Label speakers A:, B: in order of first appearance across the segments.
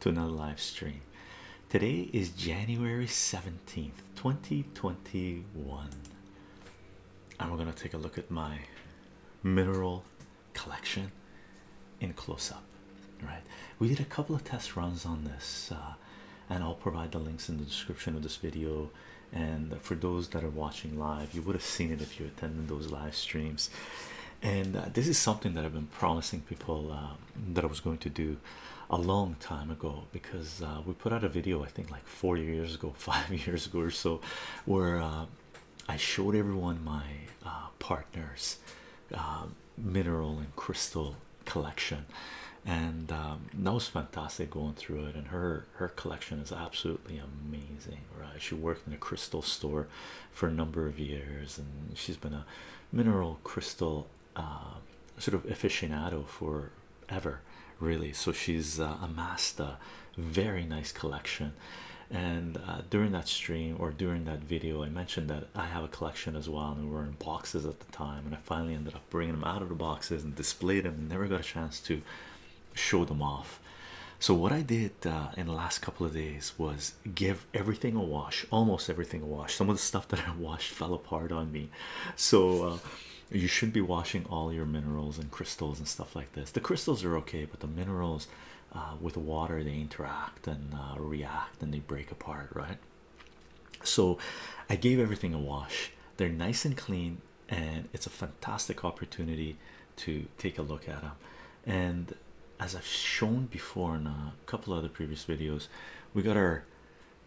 A: to another live stream. Today is January 17th, 2021, and we're going to take a look at my mineral collection in close up. Right, we did a couple of test runs on this, uh, and I'll provide the links in the description of this video. And for those that are watching live, you would have seen it if you attended those live streams and uh, this is something that I've been promising people uh, that I was going to do a long time ago because uh, we put out a video I think like four years ago five years ago or so where I showed everyone my partners mineral and crystal collection and um, that was fantastic going through it and her her collection is absolutely amazing right she worked in a crystal store for a number of years, and she's been a mineral crystal uh, sort of aficionado for ever, really. So she's uh, amassed a very nice collection. And uh, during that stream or during that video, I mentioned that I have a collection as well, and we were in boxes at the time. And I finally ended up bringing them out of the boxes and displayed them, and never got a chance to show them off. So, what I did uh, in the last couple of days was give everything a wash, almost everything a wash. Some of the stuff that I washed fell apart on me, so uh, you should be washing all your minerals and crystals and stuff like this. The crystals are okay, but the minerals uh, with water they interact and uh, react and they break apart, right? So, I gave everything a wash, they're nice and clean, and it's a fantastic opportunity to take a look at them and as I've shown before in a couple other previous videos, we got our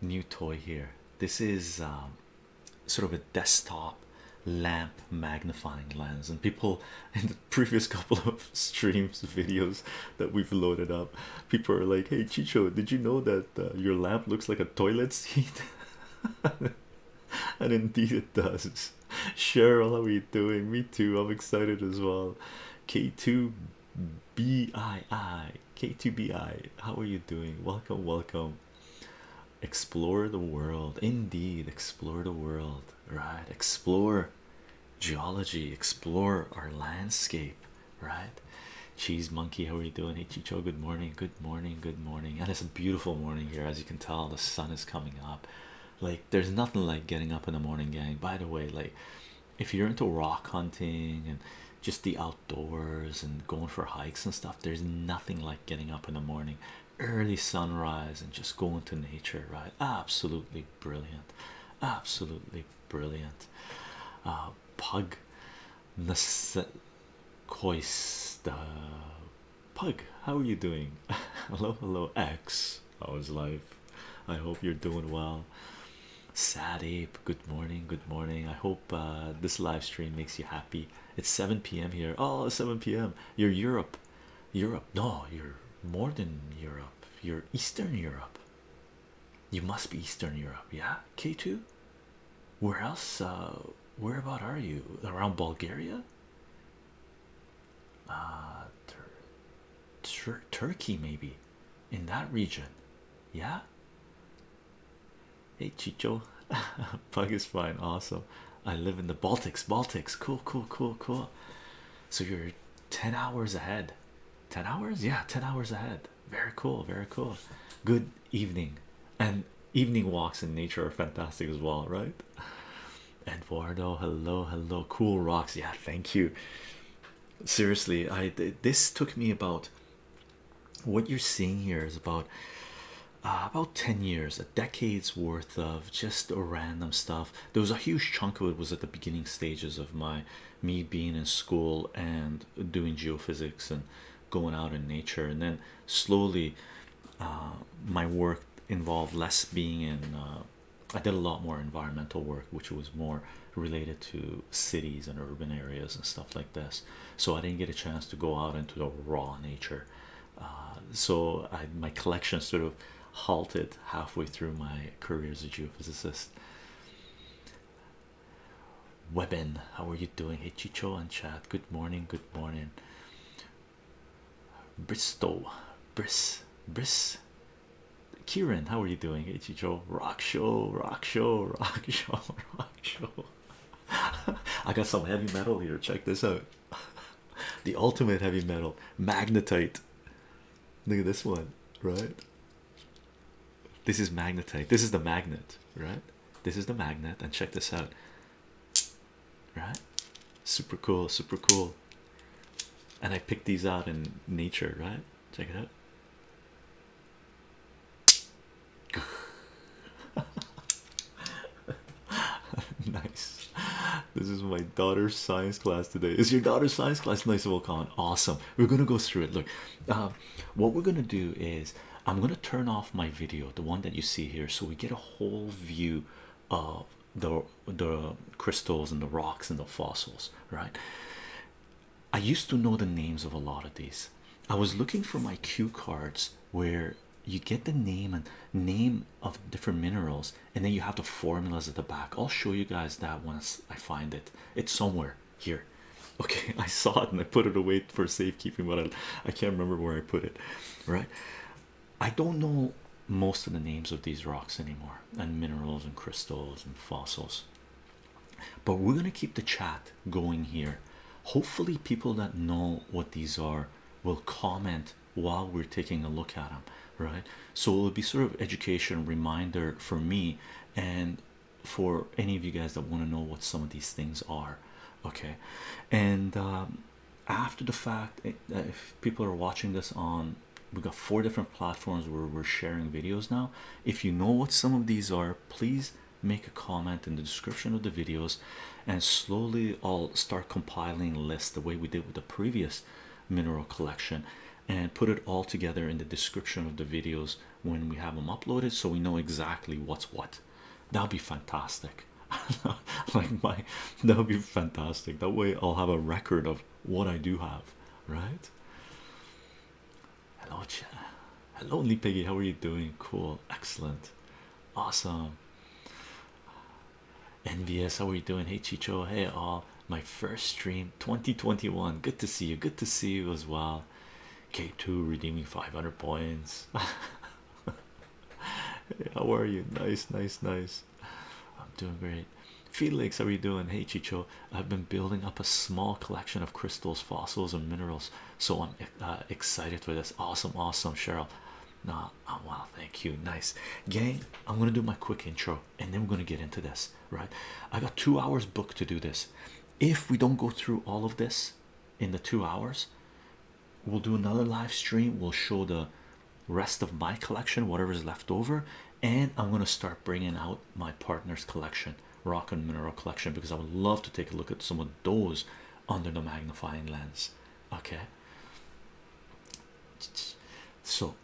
A: new toy here. This is um, sort of a desktop lamp magnifying lens, and people in the previous couple of streams videos that we've loaded up, people are like, "Hey, Chicho, did you know that uh, your lamp looks like a toilet seat?" and indeed, it does. Cheryl, how are you doing? Me too. I'm excited as well. K2BII. K2BI, how are you doing? Welcome, welcome. Explore the world, indeed. Explore the world, right? Explore geology, explore our landscape, right? Cheese monkey, how are you doing? Hey, Chicho, good morning, good morning, good morning. And it's a beautiful morning here, as you can tell. The sun is coming up. Like, there's nothing like getting up in the morning, gang. By the way, like, if you're into rock hunting and just the outdoors and going for hikes and stuff, there's nothing like getting up in the morning, early sunrise, and just going to nature, right? Absolutely brilliant, absolutely brilliant. Uh, Pug Koista uh, Pug, how are you doing? hello, hello, X. Yes, I live. I hope you're doing well. Sad ape, good morning, good morning. I hope uh, this live stream makes you happy. It's 7 p.m. here. Oh, 7 p.m. You're Europe, Europe. No, you're more than Europe, you're Eastern Europe. You must be Eastern Europe, yeah. K2, where else? Uh, where about are you around Bulgaria? uh, tur tur Turkey, maybe in that region. Yeah. Hey, Chicho, bug is fine. Awesome. I live in the Baltics. Baltics, cool, cool, cool, cool. So you're 10 hours ahead. 10 hours? Yeah, 10 hours ahead. Very cool, very cool. Good evening. And evening walks in nature are fantastic as well, right? Eduardo, hello, hello. Cool rocks. Yeah, thank you seriously i this took me about what you're seeing here is about uh, about 10 years a decade's worth of just random stuff there was a huge chunk of it was at the beginning stages of my me being in school and doing geophysics and going out in nature and then slowly uh, my work involved less being in uh, I did a lot more environmental work, which was more related to cities and urban areas and stuff like this. So I didn't get a chance to go out into the raw nature. Uh, so my collection sort of halted halfway through my career as a geophysicist. Webin, how are you doing? Hey, Chicho and Chad. Good morning. Good morning. Bristol, Bris, Bris, Kieran, how are you doing? Ichijo, rock show, rock show, rock show, rock show. I got some heavy metal here. Check this out. the ultimate heavy metal, magnetite. Look at this one, right? This is magnetite. This is the magnet, right? This is the magnet, and check this out, right? Super cool, super cool and I picked these out in nature, right? Check
B: it out.
A: nice. This is my daughter's science class today. Is your daughter's science class nice of all comment? Awesome. We're gonna go through it. Look, uh, what we're gonna do is I'm gonna turn off my video, the one that you see here, so we get a whole view of the the crystals and the rocks and the fossils, right? I used to know the names of a lot of these. I was looking for my cue cards where you get the name and name of different minerals, and then you have the formulas at the back. I'll show you guys that once I find it. It's somewhere here. Okay, I saw it and I put it away for safekeeping, but I, I can't remember where I put it. Right? I don't know most of the names of these rocks anymore and minerals, and crystals, and fossils. But we're going to keep the chat going here. Hopefully, people that know what these are will comment while we're taking a look at them, right? So it'll be sort of education reminder for me and for any of you guys that want to know what some of these things are, okay? And um, after the fact, eh, if people are watching this on we got four different platforms where we're sharing videos now if you know what some of these are please make a comment in the description of the videos and slowly i'll start compiling lists the way we did with the previous mineral collection and put it all together in the description of the videos when we have them uploaded so we know exactly what's what that'll be fantastic like my that will be fantastic that way i'll have a record of what I do have, right? Hello, Chia. Hello, Nippy. How are you doing? Cool, excellent, awesome. NVS, how are you doing? Hey, Chicho. Hey, all. My first stream 2021. Good to see you. Good to see you as well. K2 redeeming 500 points. how are you? Nice, nice, nice. I'm doing great. Felix, how are you doing? Hey, Chicho, I've been building up a small collection of crystals, fossils, and minerals, so I'm uh, excited for this. Awesome, awesome, Cheryl. Nah, oh, well, thank you. Nice, gang. I'm gonna do my quick intro and then we're gonna get into this, right? I got two hours booked to do this. If we don't go through all of this in the two hours, we'll do another live stream, we'll show the rest of my collection, whatever's left over, and I'm gonna start bringing out my partner's collection, rock and mineral collection, because I would love to take a look at some of those under the magnifying lens. Okay. So,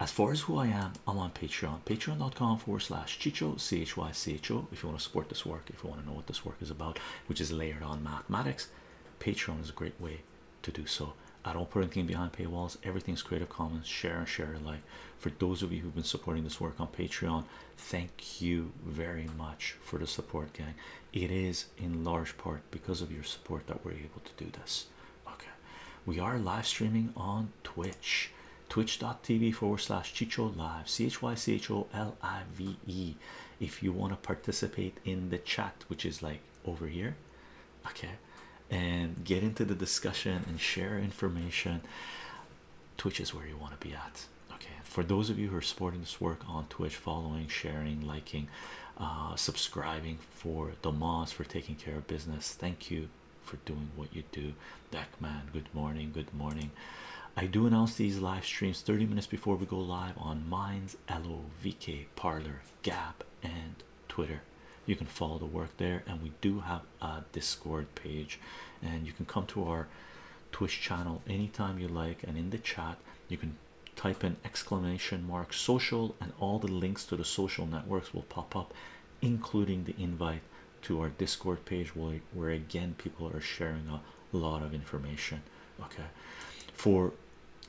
A: as far as who I am, I'm on Patreon, patreon.com forward slash chicho c h y c h o. If you want to support this work, if you want to know what this work is about, which is layered on mathematics, Patreon is a great way to do so. I don't put anything behind paywalls. Everything's Creative Commons. Share and share alike. For those of you who've been supporting this work on Patreon, thank you very much for the support, gang. It is in large part because of your support that we're able to do this. Okay, we are live streaming on Twitch, twitch.tv forward slash Chicho Live, C H Y C H O L I V E. If you want to participate in the chat, which is like over here okay and get into the discussion and share information twitch is where you want to be at okay for those of you who are supporting this work on twitch following sharing liking uh subscribing for the mods for taking care of business thank you for doing what you do man, good morning good morning i do announce these live streams 30 minutes before we go live on minds lovk parlor gap and Twitter. You can follow the work there, and we do have a Discord page, and you can come to our Twitch channel anytime you like. And in the chat, you can type in exclamation mark social, and all the links to the social networks will pop up, including the invite to our Discord page, where, again people are sharing a lot of information. Okay, for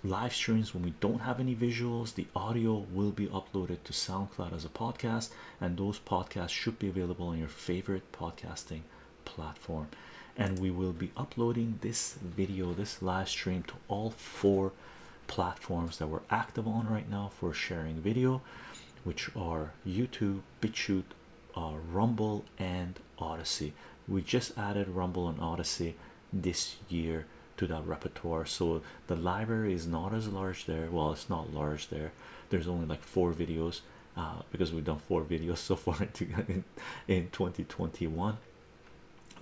A: live streams when we don't have any visuals, the audio will be uploaded to Sound. SoundCloud as a podcast, and those podcasts should be available on your favorite podcasting platform. And we will be uploading this video, this live stream, to all four platforms that we're active on right now for sharing video, which are YouTube, BitChute, uh, Rumble, and Odyssey. We just added Rumble and Odyssey this year to that repertoire so the library is not as large there well it's not large there there's only like four videos uh, because we've done four videos so far in, in 2021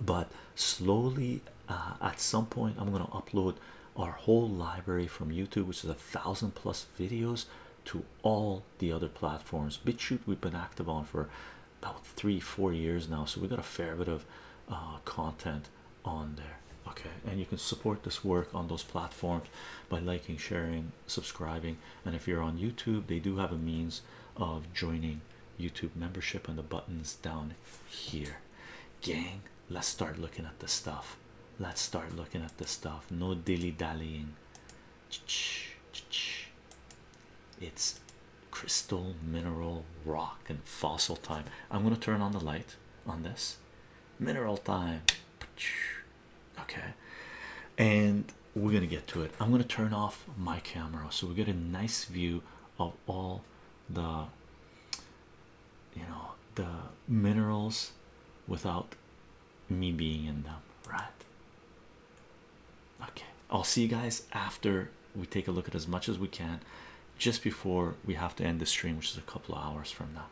A: but slowly uh, at some point i'm going to upload our whole library from youtube which is a thousand plus videos to all the other platforms bitchute we've been active on for about three four years now so we got a fair bit of uh, content on there okay and you can support this work on those platforms by liking sharing subscribing and if you're on youtube they do have a means of joining youtube membership and the buttons down here gang let's start looking at the stuff let's start looking at the stuff no dilly-dallying it's crystal mineral rock and fossil time i'm going to turn on the light on this mineral time okay and we're gonna get to it i'm gonna turn off my camera so we get a nice view of all the you know the minerals without me being in them right okay i'll see you guys after we take a look at as much as we can just before we have to end the stream, which is a couple of hours from now.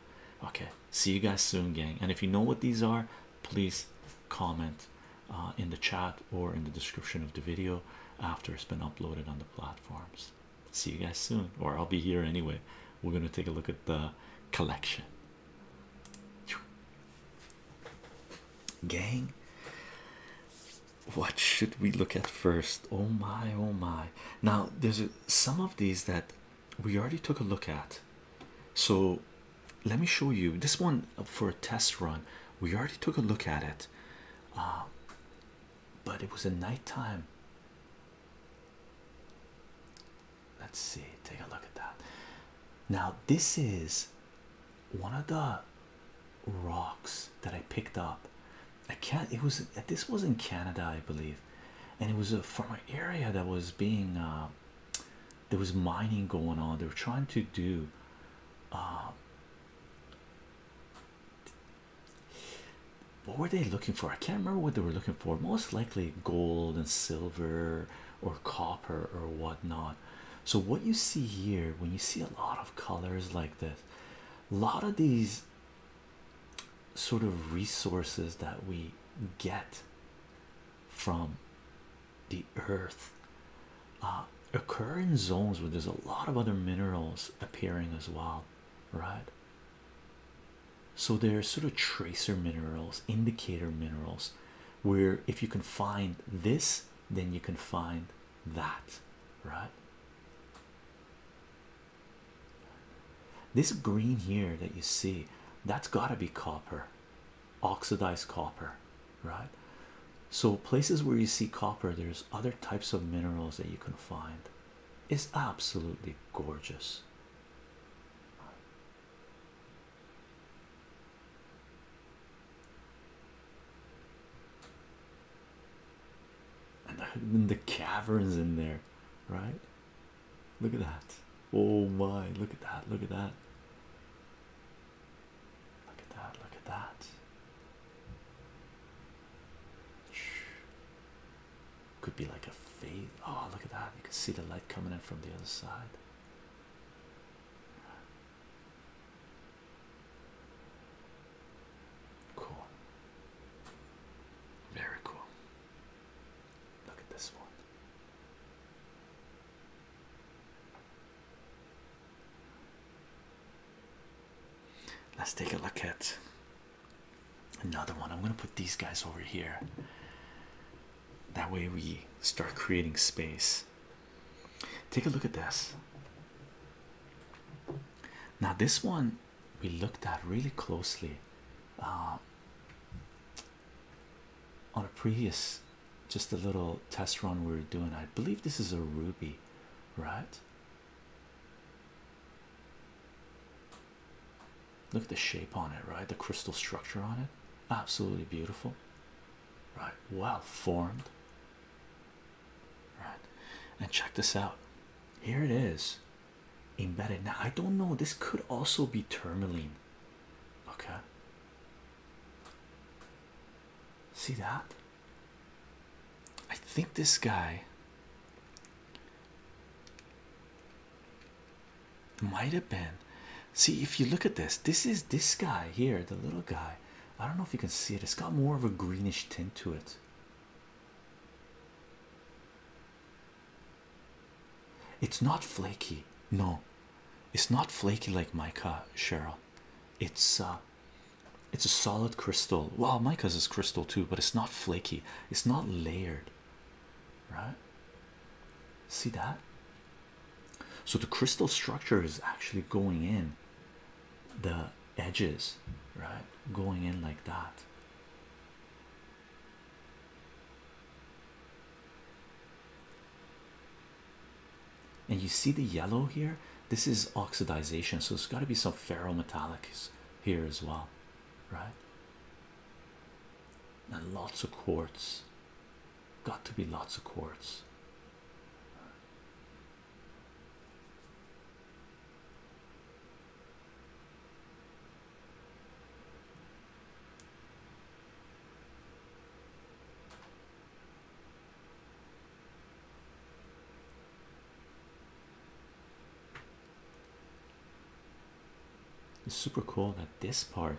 A: Okay, see you guys soon, gang. And if you know what these are, please comment uh, in the chat or in the description of the video after it's been uploaded on the platforms. See you guys soon, or I'll be here anyway. We're gonna take a look at the collection, gang. What should we look at first? Oh my, oh my! Now, there's a some of these that we already took a look at. So let me show you this one uh, for a test run. We already took a look at it, uh, but it was a nighttime. Let's see, take a look at that. Now, this is one of the rocks that I picked up. I can't. It was this was in Canada, I believe, and it was a, from an area that was being uh, there was mining going on. They were trying to do. Uh, what were they looking for? I can't remember what they were looking for. Most likely gold and silver or copper or whatnot. So what you see here, when you see a lot of colors like this, a lot of these sort of resources that we get from the earth uh, occur in zones where there's a lot of other minerals appearing as well, right? So they're sort of tracer minerals, indicator minerals, where if you can find this, then you can find that, right? This green here that you see, that's got to be copper, oxidized copper, right? So, places where you see copper, there's other types of minerals that you can find. It's absolutely gorgeous and the caverns in there, right? Look at that. Oh my, look at that, look at that. Look at that, look at that. Could be like a fade. Oh, look at that. You can see the light coming in from the other side. Cool. Very cool. Look at this one. Let's take a look at another one. I'm going to put these guys over here. That way we start creating space. Take a look at this. Now, this one we looked at really closely uh, on a previous just a little test run we were doing. I believe this is a ruby, right? Look at the shape on it, right? The crystal structure on it, absolutely beautiful, right? Well formed, right? And check this out. Here it is embedded now i don't know this could also be tourmaline okay see that i think this guy might have been see if you look at this this is this guy here the little guy i don't know if you can see it it's got more of a greenish tint to it it's not flaky, no, it's not flaky like mica, Cheryl. It's uh, it's a solid crystal. Well, mica's is crystal too, but it's not flaky, it's not layered, right? See that? So the crystal structure is actually going in the edges, right? Going in like that. And you see the yellow here, this is oxidation, so it's got to be some ferrometallics here as well, right? And lots of quartz, got to be lots of quartz. It's super cool that this part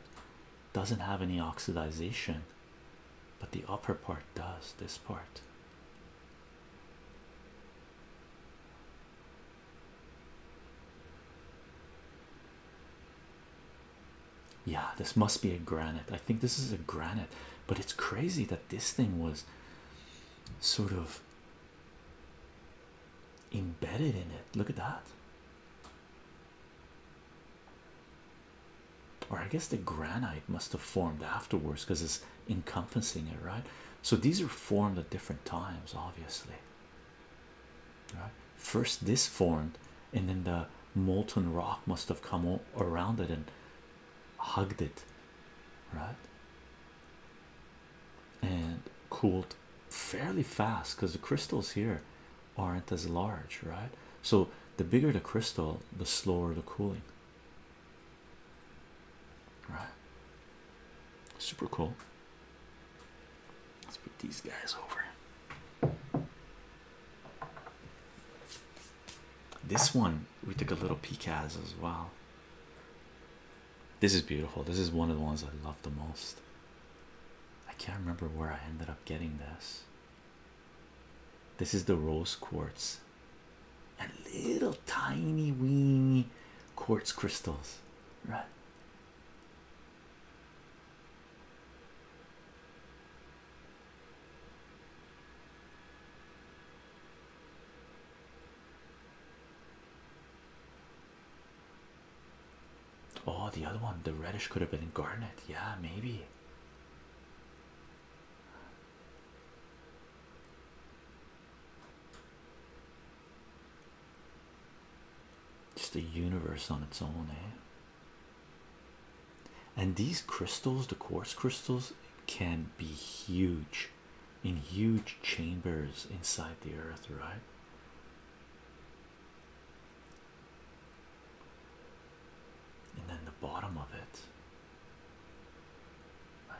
A: doesn't have any oxidization, but the upper part does. This part yeah, this must be a granite. I think this is a granite, but it's crazy that this thing was sort of embedded in it. Look at that. Or I guess the granite must have formed afterwards because it's encompassing it, right? So these are formed at different times, obviously. Right? First, this formed, and then the molten rock must have come around it and hugged it, right? And cooled fairly fast because the crystals here aren't as large, right? So the bigger the crystal, the slower the cooling right? Super cool. Let's put these guys over. This one we took a little peek at as well. This is beautiful. This is one of the ones I love the most. I can't remember where I ended up getting this. This is the rose quartz
B: and little tiny
A: weeny quartz crystals right Oh, the other one, the reddish could have been garnet.
B: Yeah, maybe.
A: Just a universe on its own, eh? And these crystals, the quartz crystals, can be huge in huge chambers inside the earth, right? And then the bottom of it. Like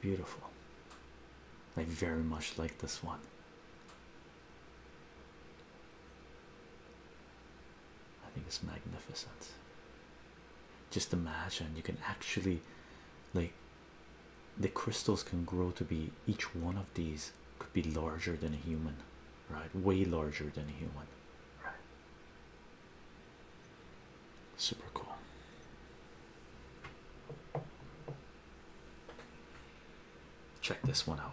A: Beautiful. I very much like this one. I think it's magnificent. Just imagine you can actually, like, the crystals can grow to be each one of these could be larger than a human, right? Way larger than a human. Super cool. Check this one out.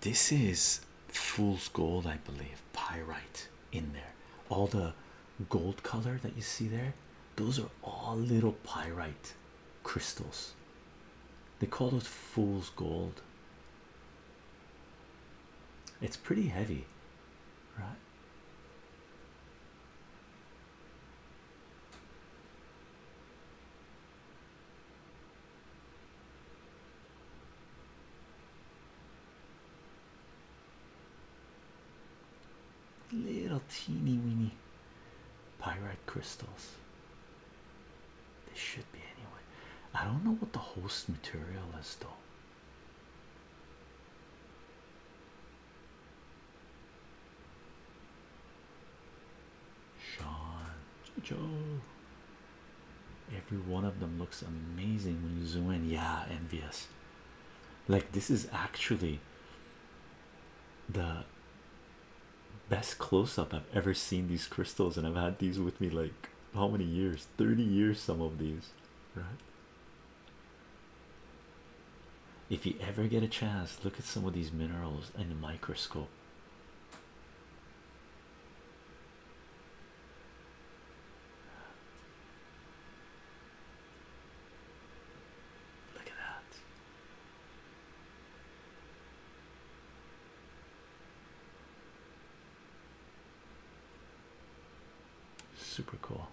A: This is fool's gold, I believe, pyrite in there. All the gold color that you see there, those are all little pyrite crystals. They call those fool's gold. It's pretty heavy, right? Little teeny weeny pyrite crystals. They should be anyway. I don't know what the host material is though. Sean, Joe, every one of them looks amazing when you zoom in. Yeah, envious. Like this is actually the best close-up I've ever seen these crystals and I've had these with me like how many years 30 years some of these right if you ever get a chance look at some of these minerals in the microscope
B: Look at that.
A: Super cool.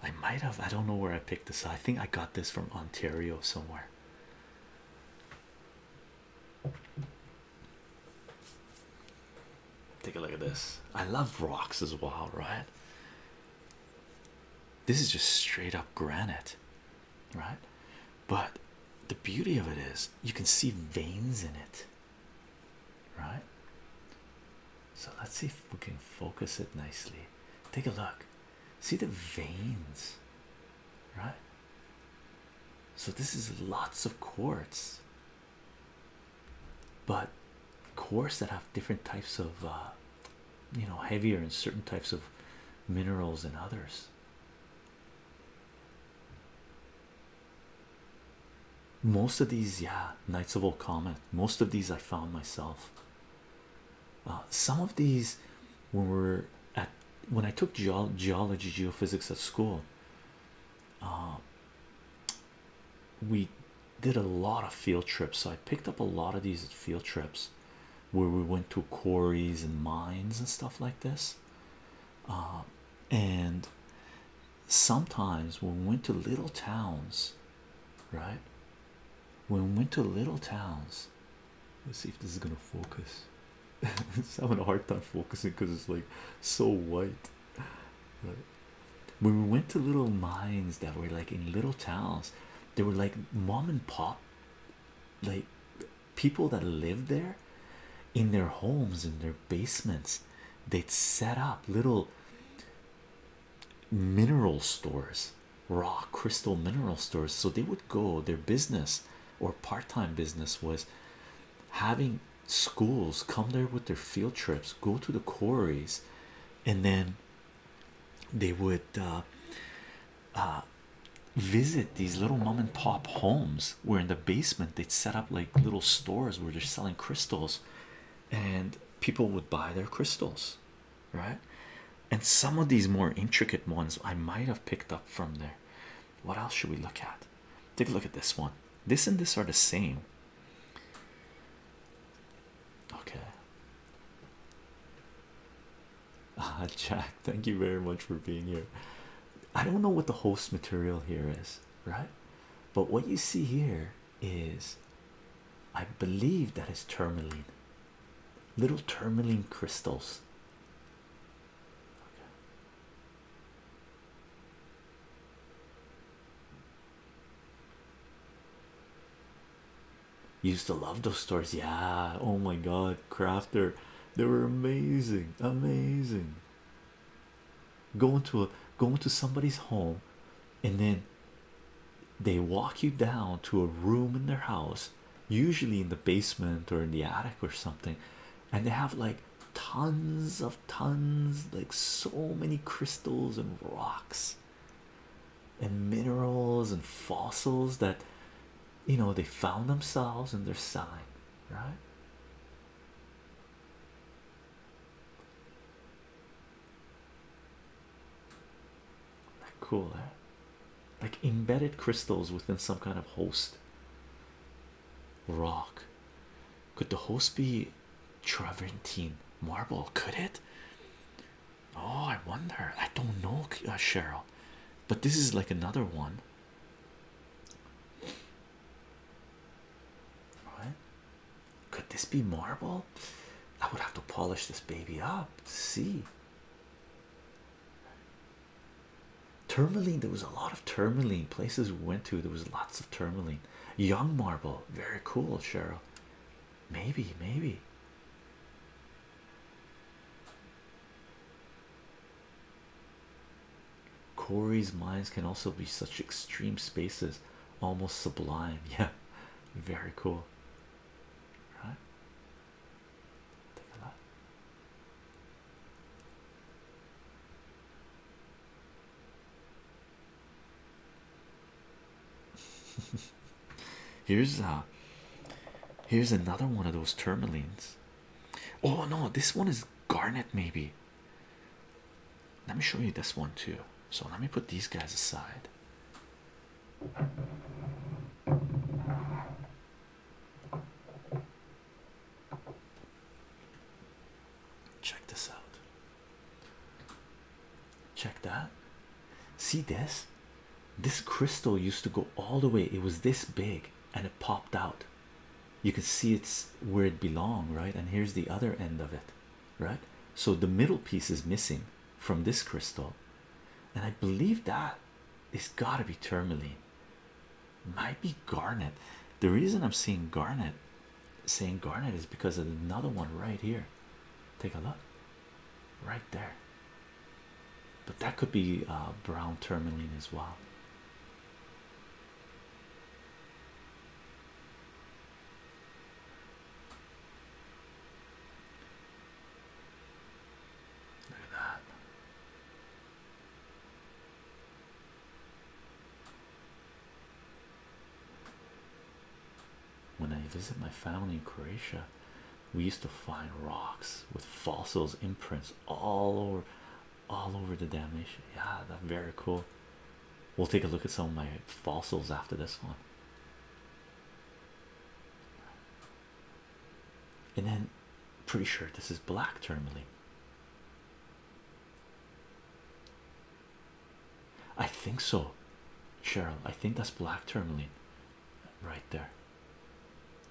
A: I might have, I don't know where I picked this. up. I think I got this from Ontario somewhere. Take a look at this. I love rocks as well, right? This is just straight up granite, right? But the beauty of it is you can see veins in it, right? So let's see if we can focus it nicely. Take a look. See the veins, right? So this is lots of quartz, but quartz that have different types of uh, you know heavier and certain types of minerals and others. Most of these, yeah, Knights of Old Comet. Most of these I found myself. Uh, some of these, when we are at when I took geology, geophysics at school, um, we did a lot of field trips so i picked up a lot of these field trips where we went to quarries and mines and stuff like this um, and sometimes we went to little towns right we went to little towns let's see if this is gonna focus it's having a hard time focusing because it's like so white. when we went to little mines that were like in little towns, they were like mom and pop, like people that lived there in their homes, in their basements, they'd set up little mineral stores, raw crystal mineral stores. So they would go, their business or part time business was having schools come there with their field trips, go to the quarries, and then they would uh, uh, visit these little mom and pop homes where in the basement they'd set up like little stores where they're selling crystals and people would buy their crystals right and some of these more intricate ones i might have picked up from there what else should we look at? Take a look at this one. This and this are the same. Okay. Ah, Jack, thank you very much for being here. I don't know what the host material here is, right? But what you see here is, I believe that is tourmaline, little tourmaline crystals used to love those stories, yeah. Oh my god, crafter, they were amazing, amazing. Going to a going to somebody's home, and then they walk you down to a room in their house, usually in the basement or in the attic or something, and they have like tons of tons like so many crystals and rocks and minerals and fossils that you know they found themselves in their sign right cool eh? like embedded crystals within some kind of host rock. Could the host be travertine marble? Could it? Oh, I
B: wonder. I
A: don't know, uh, Cheryl. But this is like another one.
B: Right? Could
A: this be marble? I would have to polish this baby up to see. Tourmaline, there was a lot of tourmaline places we went to. There was lots of tourmaline. Young marble, very cool, Cheryl. Maybe, maybe. Corey's mines can also be such extreme spaces, almost sublime. Yeah, very cool. Right? here's uh here's another one of those tourmalines. Oh no, this one is garnet maybe. Let me show you this one too. So let me put these guys aside. Check this out. Check that. See this? This crystal used to go all the way, it was this big and it popped out. You can see it's where it belonged, right? And here's the other end of it, right? So the middle piece is missing from this crystal, and I believe that got to be tourmaline might be Garnet. The reason I'm seeing Garnet saying Garnet is because of another one right here. Take a look right there, but that could be uh, brown tourmaline as well. Look at that. When I visit my family in Croatia, we used to find rocks with fossils imprints all over all over the damnation. Yeah, that's very cool. We'll take a look at some of my fossils after this one. And then pretty sure this is black tourmaline. I think so, Cheryl. I think that's black tourmaline right there.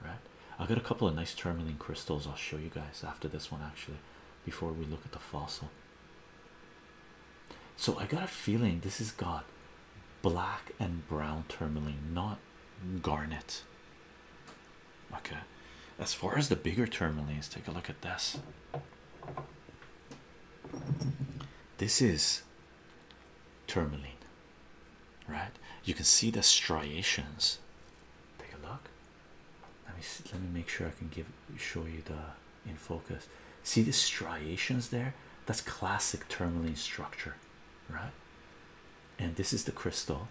A: Right, I got a couple of nice tourmaline crystals. I'll show you guys after this one, actually, before we look at the fossil. So, I got a feeling this has got black and brown tourmaline, not garnet. Okay, as far as the bigger tourmalines, take a look at this. This is tourmaline, right? You can see the striations. Take a look. Let me let me make sure I can give show you the in focus. See the striations there? That's classic tourmaline structure, right? And this is the crystal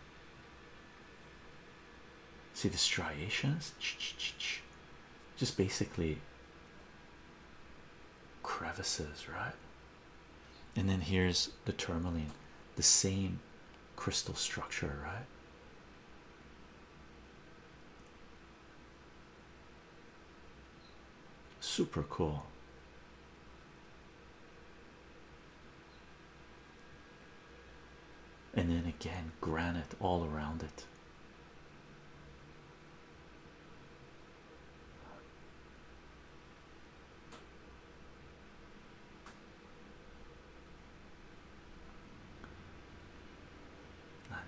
A: see the striations just basically crevices right and then here's the tourmaline the same crystal structure right super cool and then again granite all around it.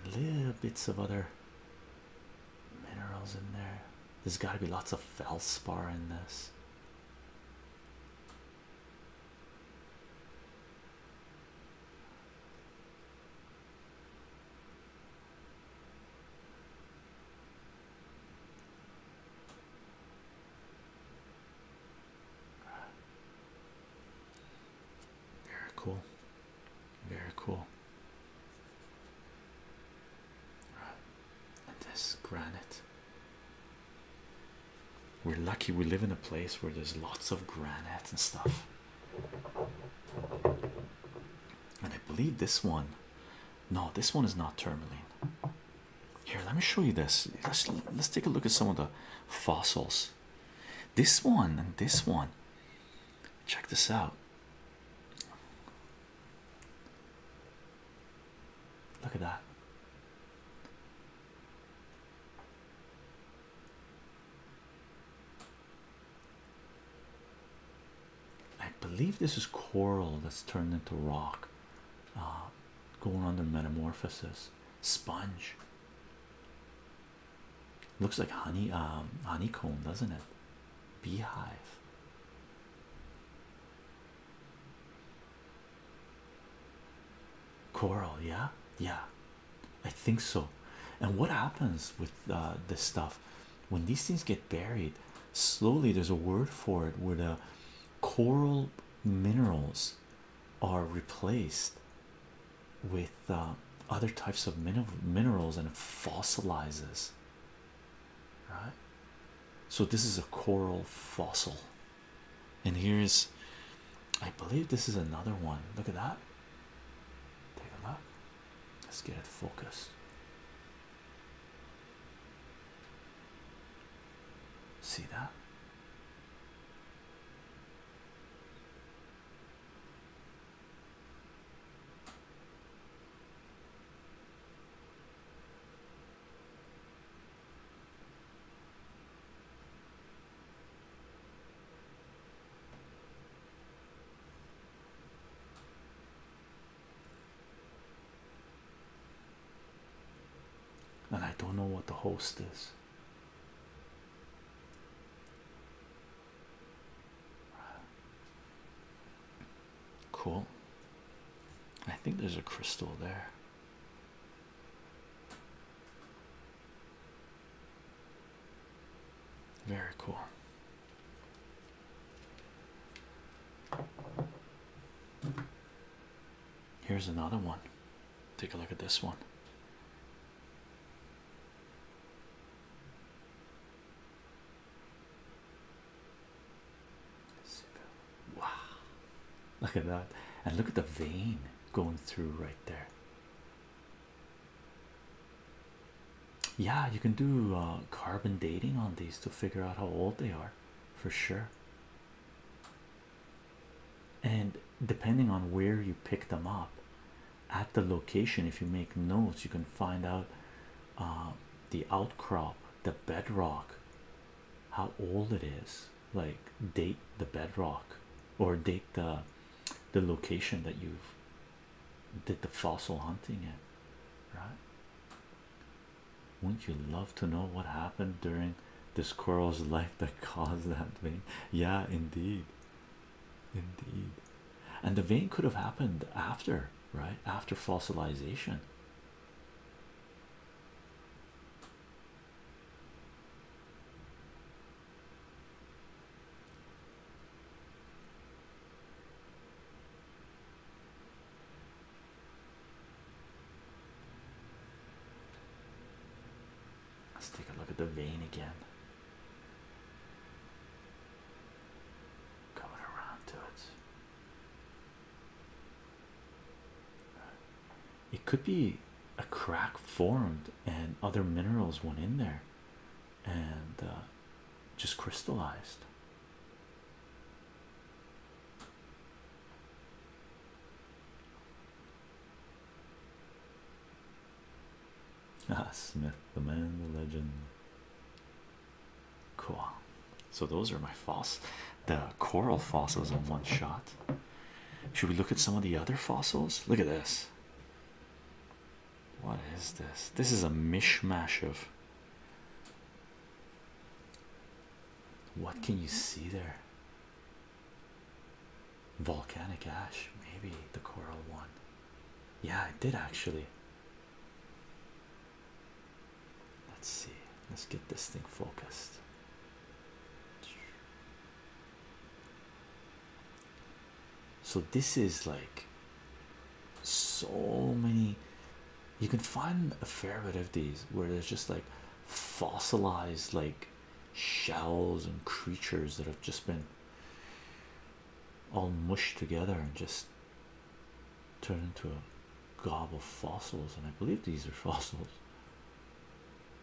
A: And little bits of other
B: minerals in there.
A: There's got to be lots of felspar in this. Very cool. Very cool. this granite we're lucky we live in a place where there's lots of granite and stuff. And I believe this one, no, this one is not tourmaline. Here, let me show you this. Let's let's take a look at some of the fossils. This one and this one. Check this out. Look at that. I believe this is coral that's turned into rock, uh, going under metamorphosis. Sponge looks like honey, um, honeycomb, doesn't it? Beehive coral yeah yeah i think so and what happens with uh, this stuff when these things get buried slowly there's a word for it where the coral minerals are replaced with uh, other types of minerals and it fossilizes right so this is a coral fossil and here's I believe this is another one. Look at that.
B: Take a look. Let's get it focused. See that?
A: And I don't know what the host is. Cool. I think there's a crystal there. Very cool. Here's another one. Take a look at this one. Wow, look at that, and look at the vein going through right there. Yeah, you can do uh, carbon dating on these to figure out how old they are for sure. And depending on where you pick them up at the location, if you make notes, you can find out uh, the outcrop, the bedrock, how old it is like date the bedrock or date the the location that you've did the fossil hunting at right wouldn't you love to know what happened during the squirrel's life that caused that vein yeah indeed indeed and the vein could have happened after right after fossilization Let's take a look at the vein again.
B: Coming around to it
A: it could be a crack formed and other minerals went in there and uh, just crystallized. Ah, Smith, the man, the legend. Cool. So those are my fossils, the coral fossils in one shot. Should we look at some of the other fossils? Look at this. What is this? This is a mishmash of what can you see there? Volcanic ash, maybe the coral one. Yeah, it did actually. Let's see. Let's get this thing focused. So this is like so many you can find a fair bit of these where there's just like fossilized like shells and creatures that have just been all mushed together and just turned into a gob of fossils and I believe these are fossils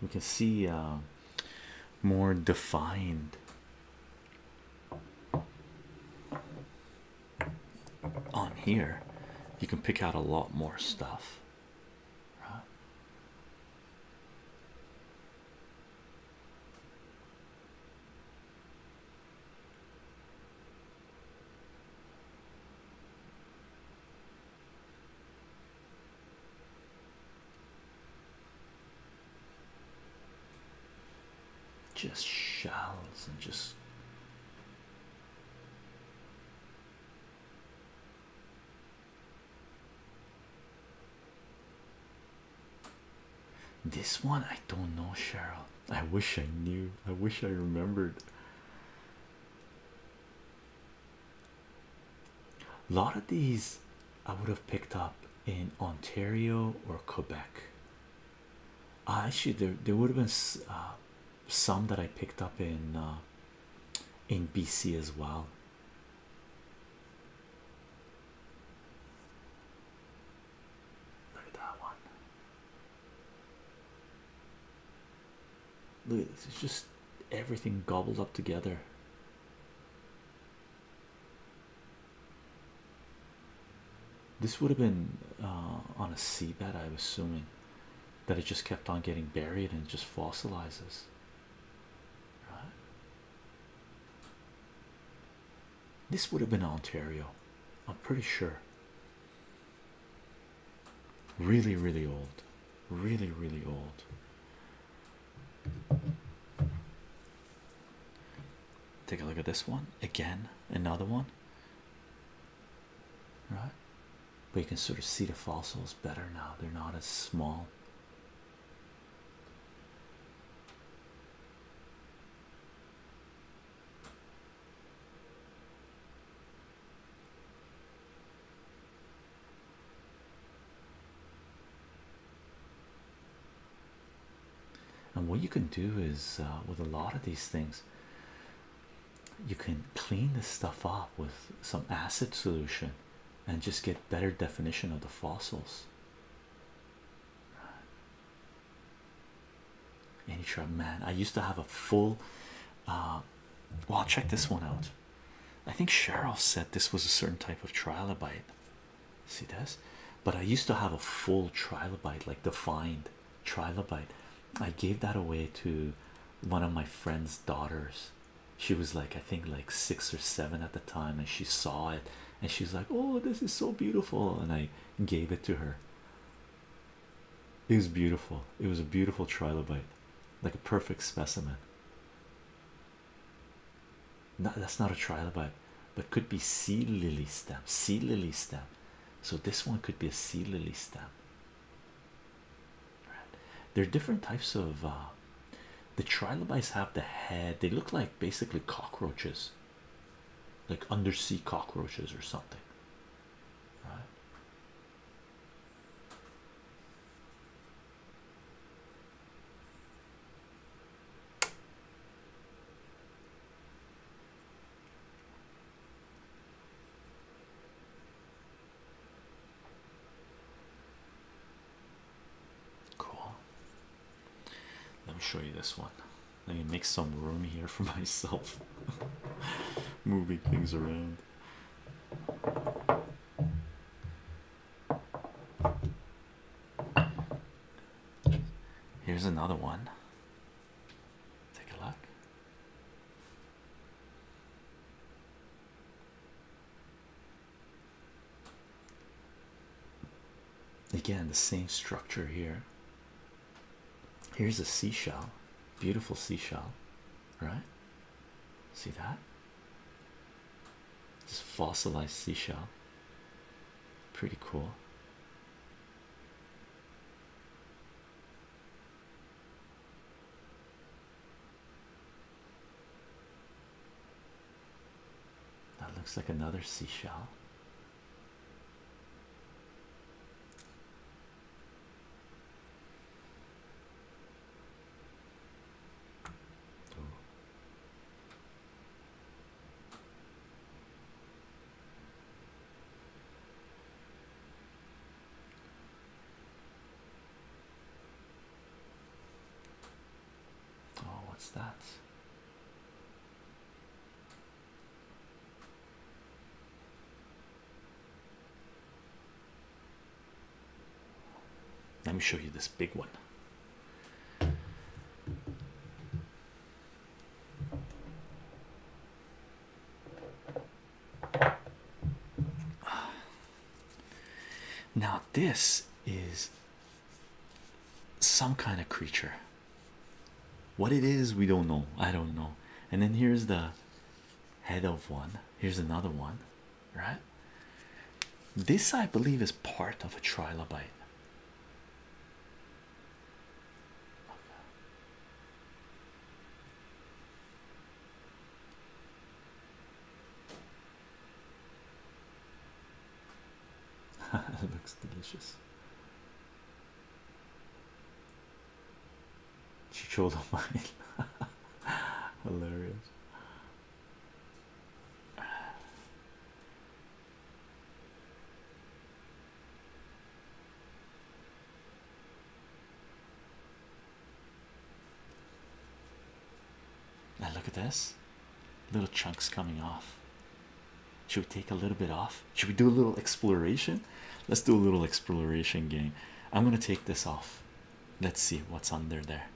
A: we can see uh, more defined on here you can pick out a lot more stuff just shells and just this one I don't know, Cheryl. I wish I knew, I wish I remembered. A lot of these I would have picked up in Ontario or Quebec. Uh, actually there there would have been uh, some that I picked up in uh, in BC as well. Look at that one. Look at this, it's just everything gobbled up together. This would have been uh, on a seabed, I'm assuming, that it just kept on getting buried and just fossilizes. This would have been Ontario, I'm pretty sure. Really, really old. Really, really old. Take a look at this one again, another one, right? But you can sort of see the fossils better now, they're not as small. And what you can do is uh, with a lot of these things, you can clean this stuff up with some acid solution and just get better definition of the fossils. Any shrub, man. I used to have a full uh, well, check this one out. I think Cheryl said this was a certain type of trilobite. See this? But I used to have a full trilobite, like defined trilobite. I gave that away to one of my friend's daughters. She was like, I think, like six or seven at the time, and she saw it and she's like, Oh, this is so beautiful! And I gave it to her. It was beautiful, it was a beautiful trilobite, like a perfect specimen. No, that's not a trilobite, but could be sea lily stem. Sea lily stem. So this one could be a sea lily stem. There are different types of. Uh, the trilobites have the head. They look like basically cockroaches, like undersea cockroaches or something. Cool. Let me show you this one. Let me make some room here for myself. Moving things around. Here's another one. Take a look. Again, the same structure here. Here's a seashell, beautiful seashell, right? See that? This fossilized seashell. Pretty cool. That looks like another seashell. Oh,
B: oh, what's that?
A: Let me show you this big one. Now, this is some kind of creature. What it is, we don't know. I don't know. And then here's the head of one. Here's another one right? This, I believe, is part of a trilobite. it looks delicious. She Chicholo mine, hilarious. Now look at this little chunks coming off. Should we take a little bit off? Should we do a little exploration? Let's do a little exploration game. I'm gonna take this off. Let's see what's under there.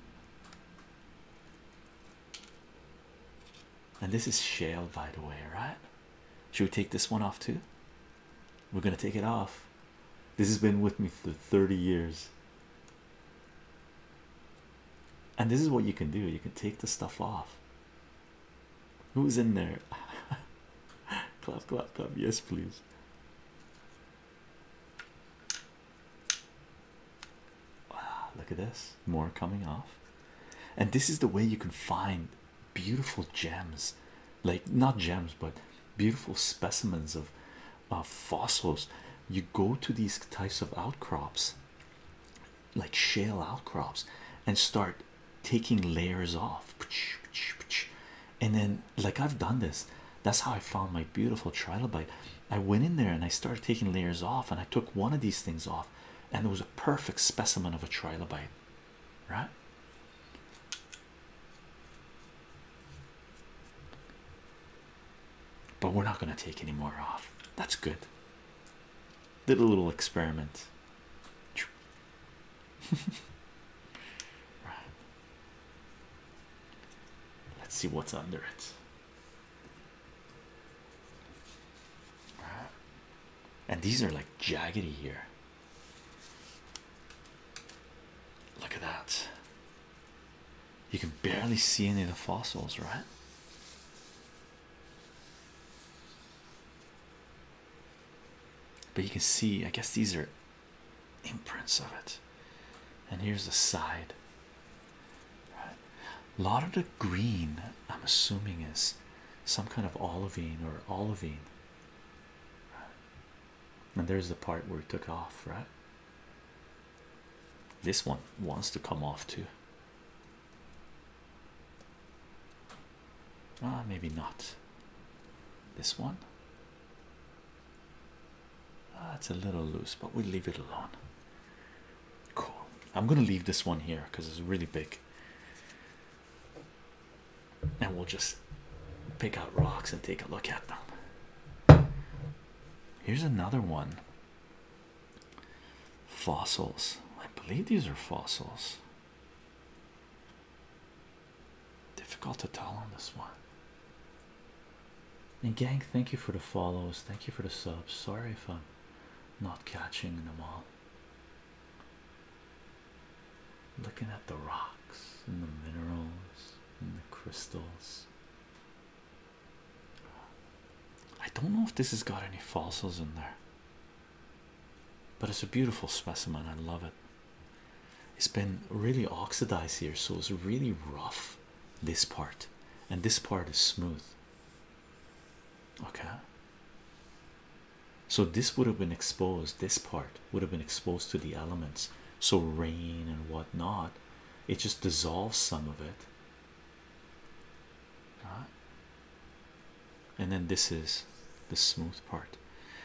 A: And this is shale, by the way, right? Should we take this one off too? We're gonna take it off. This has been with me for 30 years. And this is what you can do you can take the stuff off. Who's in there? clap, clap, clap. Yes, please. Wow, ah, look at this. More coming off. And this is the way you can find beautiful gems like not gems but beautiful specimens of fossils. You go to these types of outcrops, like shale outcrops, and start taking layers off and then like I've done this. That's how I found my beautiful trilobite. I went in there and I started taking layers off, and I took one of these things off, and it was a perfect specimen of a trilobite, right? But we're not going to take any more off. That's good. Did a little experiment. right. Let's see what's under it. And these are like jaggedy here. Look at that. You can barely see any of the fossils, right? But you can see, I guess these are imprints of it. And here's the side. Right. lot of the green, I'm assuming, is some kind of olivine or olivine. And there's the part where it took off, right? This one wants to come off too. Ah, maybe not. This one. Ah, it's a little loose, but we'll leave it alone. Cool. I'm gonna leave this one here because it's really big, and we'll just pick out rocks and take a look at them. Here's another one. Fossils. I believe these are fossils. Difficult to tell on this one. And gang, thank you for the follows. Thank you for the subs. Sorry if I'm not catching them all. Looking at the rocks and the minerals and the crystals. I don't know if this has got any fossils in there, but it's a beautiful specimen. I love it. It's been really oxidized here, so it's really rough this part, and this part is smooth. Okay, so this would have been exposed, this part would have been exposed to the elements, so rain and whatnot, it just dissolves some of it. Right. And then this is the smooth part,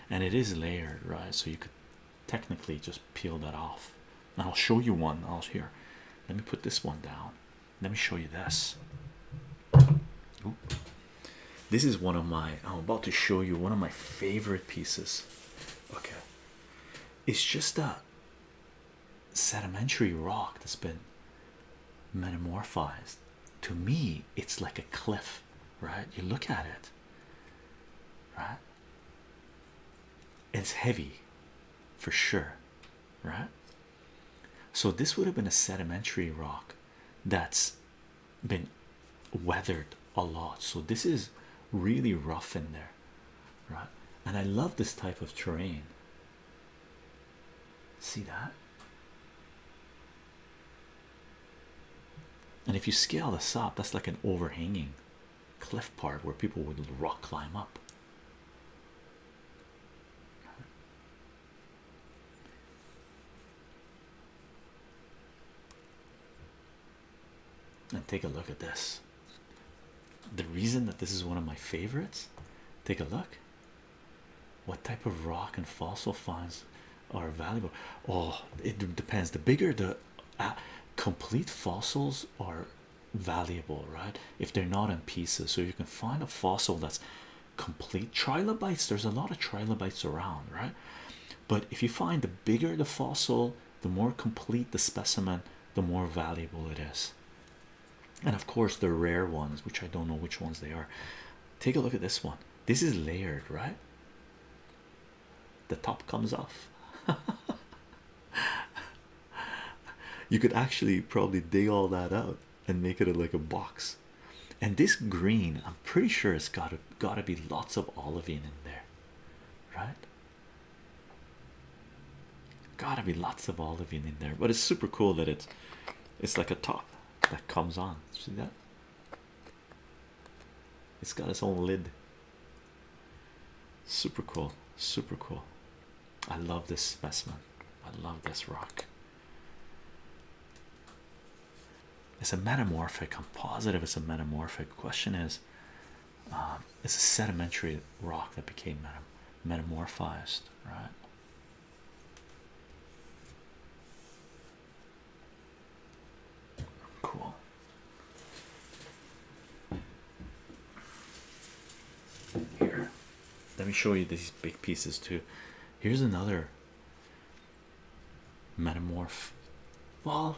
A: and it is layered, right? So you could technically just peel that off. And I'll show you one. Oh, I'll here. Let me put this one down. Let me show you this. This is one of my. I'm about to show you one of my favorite pieces. Okay, it's just a sedimentary rock that's been metamorphized. To me, it's like a cliff, right? You look at it, right? It's heavy for sure, right? So, this would have been a sedimentary rock that's been weathered a lot. So, this is really rough in there, right? And I love this type of terrain. See that? And if you scale this up, that's like an overhanging cliff part where people would rock climb up. And take a look at this. The reason that this is one of my favorites, take a look. What type of rock and fossil finds are valuable? Oh, it depends. The bigger the uh, complete fossils are valuable right if they're not in pieces so you can find a fossil that's complete trilobites there's a lot of trilobites around right but if you find the bigger the fossil the more complete the specimen the more valuable it is and of course the rare ones which i don't know which ones they are take a look at this one this is layered right the top comes off. you could actually probably dig all that out and make it like a box. And this green, I'm pretty sure has got to got to be lots of olivine in
B: there, right?
A: Got to be lots of olivine in there. But it's super cool that it's it's like a top that comes on. See that? It's got its own lid. Super cool, super cool. I love this specimen. I love this rock. It's a metamorphic. I'm positive it's a metamorphic. Question is, um, it's a sedimentary rock that became metamorphosed,
B: right? Cool.
A: Here, let me show you these big pieces too. Here's another metamorph. Well,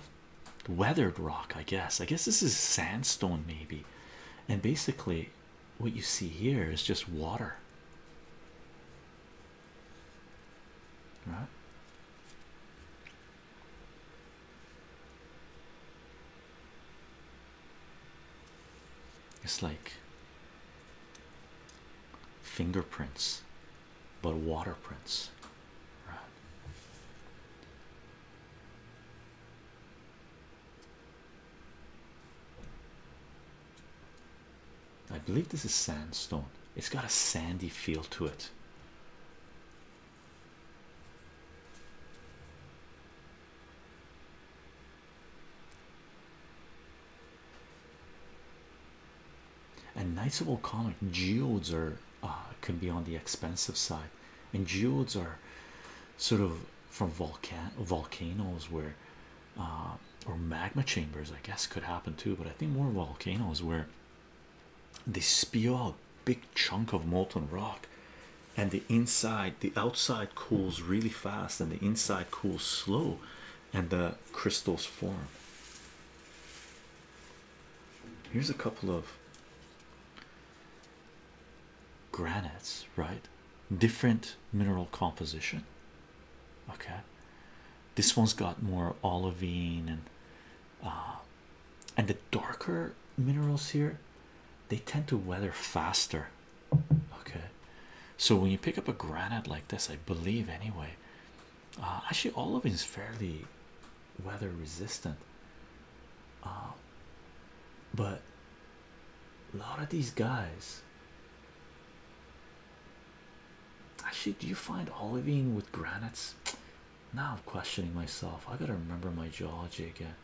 A: weathered rock, I guess. I guess this is sandstone, maybe. And basically, what you see here is just water. Right? It's like fingerprints, but water prints. I believe this is sandstone. It's got a sandy feel to it. And nice of Comic geodes are uh, can be on the expensive side, and geodes are sort of from volcan volcanoes where uh, or magma chambers, I guess, could happen too. But I think more volcanoes where they spew a big chunk of molten rock and the inside the outside cools really fast and the inside cools slow and the crystals form here's a couple of granites right different mineral composition okay this one's got more olivine and uh, and the darker
B: minerals here
A: they tend to weather faster okay so when you pick up a granite like this i believe anyway uh, actually all of it is fairly weather resistant uh, but a lot of these guys actually do you find olivine with granites now I'm questioning myself. I gotta remember my geology again.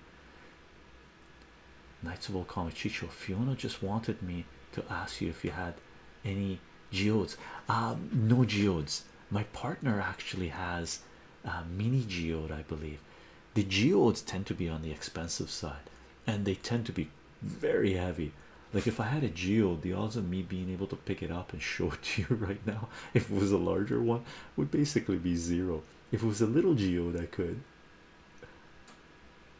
A: Knights of Old Comic Chicho Fiona just wanted me to ask you if you had any geodes. Um, no geodes. My partner actually has a mini geode, I believe. The geodes tend to be on the expensive side and they tend to be very heavy. Like, if I had a geode, the odds of me being able to pick it up and show it to you right now, if it was a larger one, would basically be zero. If it was a little geode, I could.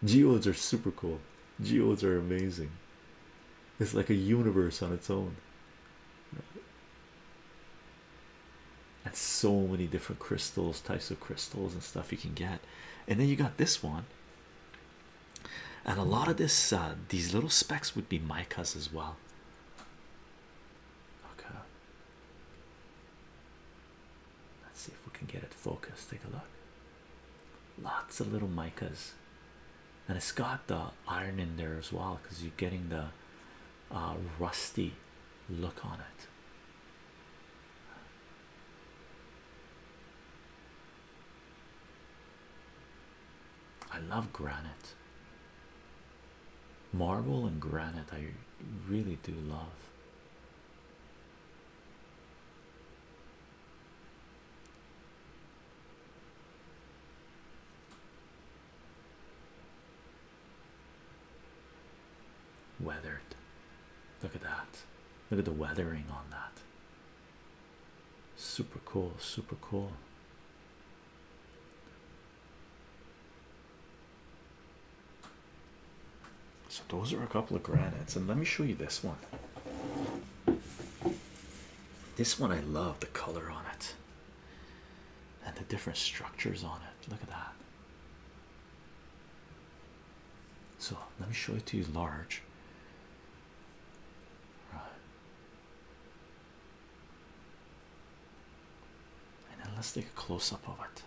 A: Geodes are super cool. Geodes are amazing. It's like a universe on its own. And so many different crystals, types of crystals and stuff you can get. And then you got this one. And a lot of this uh, these little specks would be micas as well. Okay. Let's see if we can get it focused. Take a look. Lots of little micas, and it's got the iron in there as well because you're getting the uh, rusty
B: look on it. I love granite
A: marble and granite I really do love.
B: Weathered. Look at that.
A: Look at the weathering on that. Super cool, super cool. So those are a couple of granites, and let me show you this one. This one I love the color on it and the different structures on it. Look at that. So let me show it to you large. And let's take a close up of it.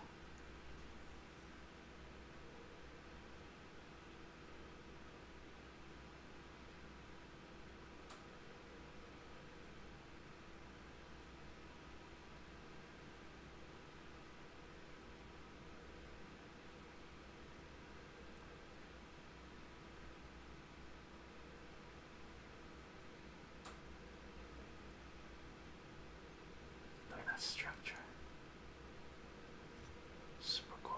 B: Look at that structure. Super cool.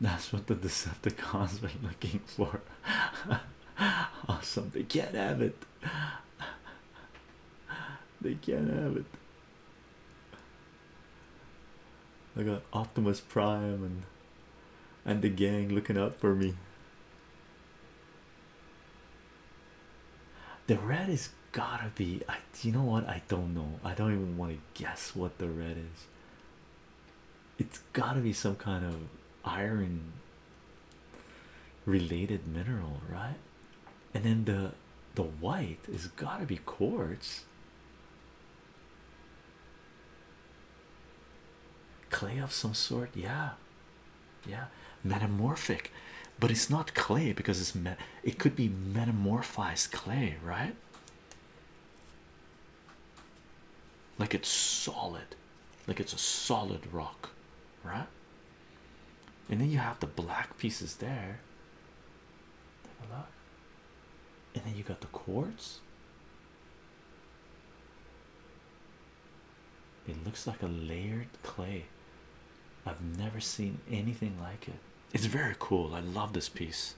A: That's what the Decepticons were looking for. awesome, they can't have it. They can't have it. I got Optimus Prime and and the gang looking out for me. The red is gotta be. I, you know what? I don't know. I don't even want to guess what the red is. It's gotta be some kind of iron related mineral, right? And then the the white is gotta be quartz. Clay of some sort, yeah, yeah metamorphic but it's not clay because it's met it could be metamorphized clay right like it's solid like it's a solid rock right and then you have the black pieces there and then you got the quartz it looks like a layered clay I've never seen anything like it. It's very cool. I love this piece.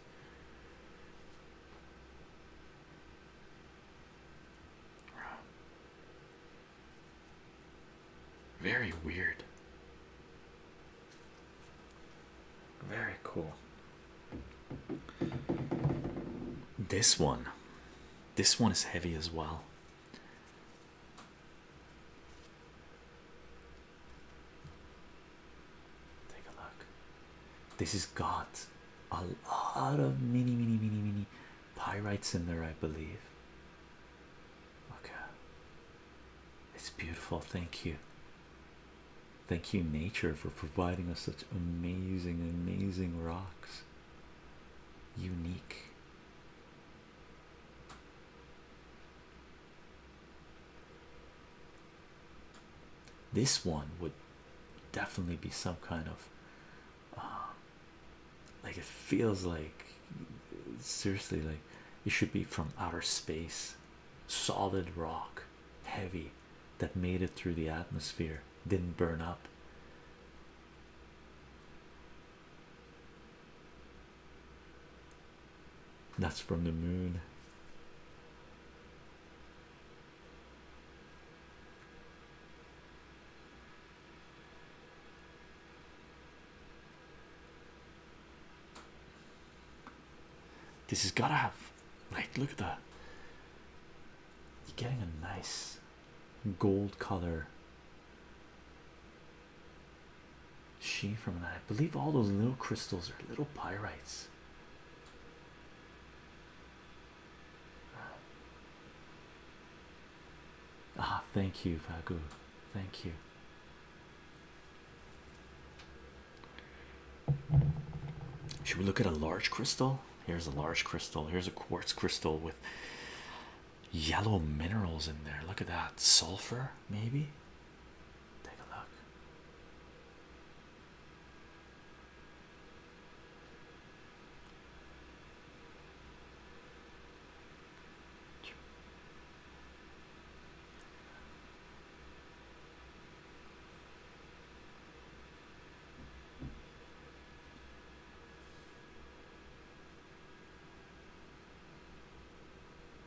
A: Very weird. Very cool. This one. This one is heavy as well. Take a look. This is got a lot of mini, mini, mini, mini pyrites in there, I believe. Okay, it's beautiful. Thank you. Thank you, nature, for providing us such amazing, amazing rocks. Unique, this one would definitely be some kind of
B: uh, like it
A: feels like seriously, like it should be from outer space, solid rock, heavy that made it through the atmosphere, didn't burn up. That's from the moon. This has gotta have
B: like look at that. You're getting a nice
A: gold color she from that. I believe all those little crystals are little pyrites. Ah, thank you, Vagu. Thank you. Should we look at a large crystal? Here's a large crystal. Here's a quartz crystal with yellow minerals in there. Look at that sulfur,
B: maybe. Take a look.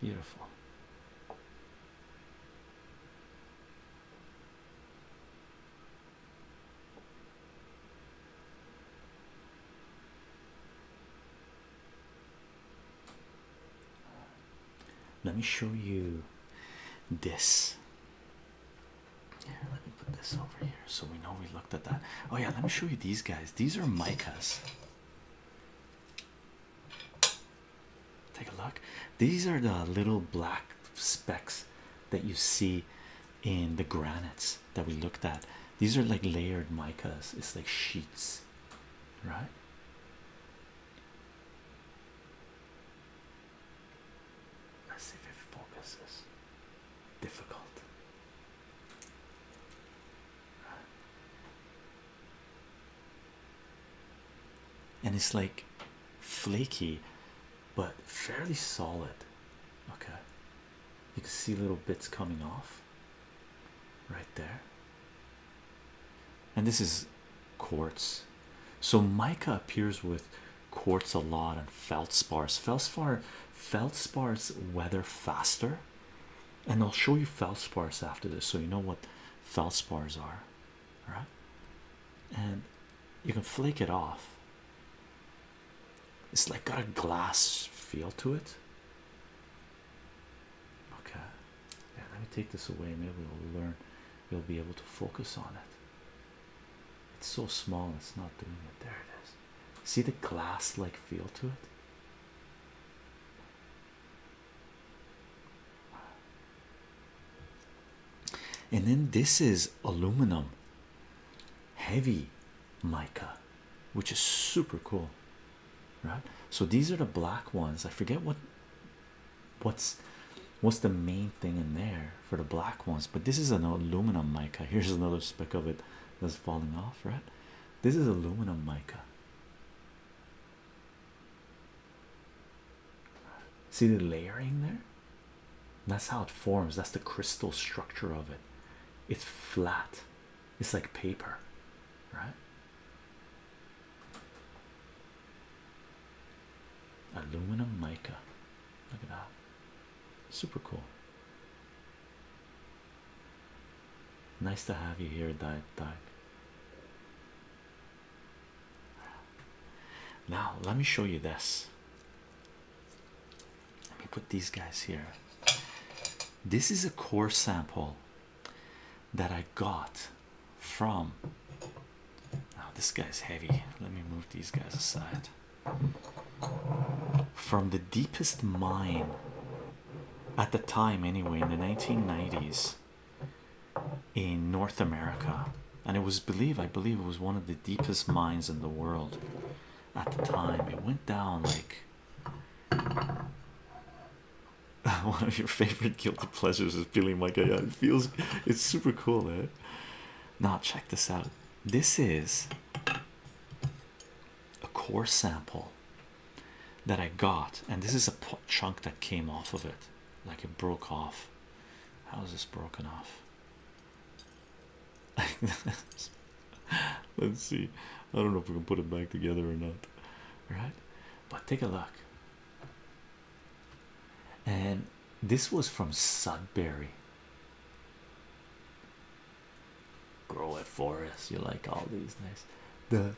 B: Beautiful.
A: Let me show you this.
B: Here, let me put this over
A: here so we know we at that. Oh, yeah, let me show you these guys. These are micas. Take a look. These are the little black specks that you see in the granites that we looked at. These are like layered micas, it's like sheets, right? Let's see if it focuses difficult. And it's like flaky but fairly solid. Okay, you can see little bits coming off right there. And this is quartz. So mica appears with quartz a lot and feldspars. Feldspar feldspars weather faster and i'll show you feldspars after this so you know what feldspars are all right and you can flake it off it's like got a glass feel to it okay yeah, let me take this away maybe we'll learn we'll be able to focus on it it's so small it's not doing it there it is See the glass like feel to it. And then this is aluminum heavy mica, which is super cool, right? So these are the black ones. I forget what what's what's the main thing in there for the black ones, but this is an aluminum mica. Here's another speck of it that's falling off, right? This is aluminum mica. See the layering there? That's how it forms. That's the crystal structure of it. It's flat. It's like paper, right? Aluminum mica. Look at that. Super cool. Nice to have you here, Dive Dive. Now, let me show you this. Let me put these guys here. This is a core sample that I got from. Now, oh, this guy's heavy. Let me move these guys aside from the deepest mine at the time, anyway, in the 1990s in North America, and it was believe I believe it was one of the deepest mines in the world at the time. It went down like one of your favorite guilty pleasures is feeling like guy. it feels it's super cool, eh? Now, check this out. This is a core sample that I got, and this is a chunk that came off of it, like it broke off. How is this broken off? Let's see. I don't know if we can put it back together or not,
B: right? But take a look.
A: And this was from Sudbury. Grow at Forest. You like all these nice. The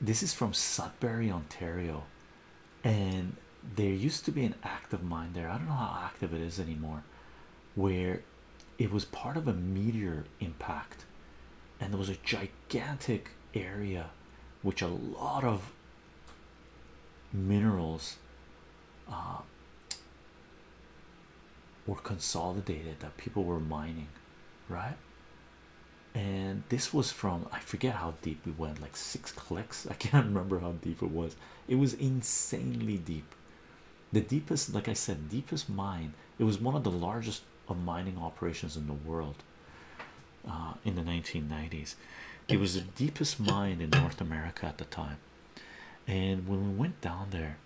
A: this is from Sudbury, Ontario, and there used to be an active mine there. I don't know how active it is anymore, where it was part of a meteor impact, and there was a gigantic area which a lot of minerals uh, were consolidated that people were mining, right? And this was from I forget how deep we went like six clicks. I can't remember how deep it was, it was insanely deep. The deepest, like I said, deepest mine, it was one of the largest of mining operations in the world uh, in the 1990s. It was the deepest mine in North America at the time. And when we went down there,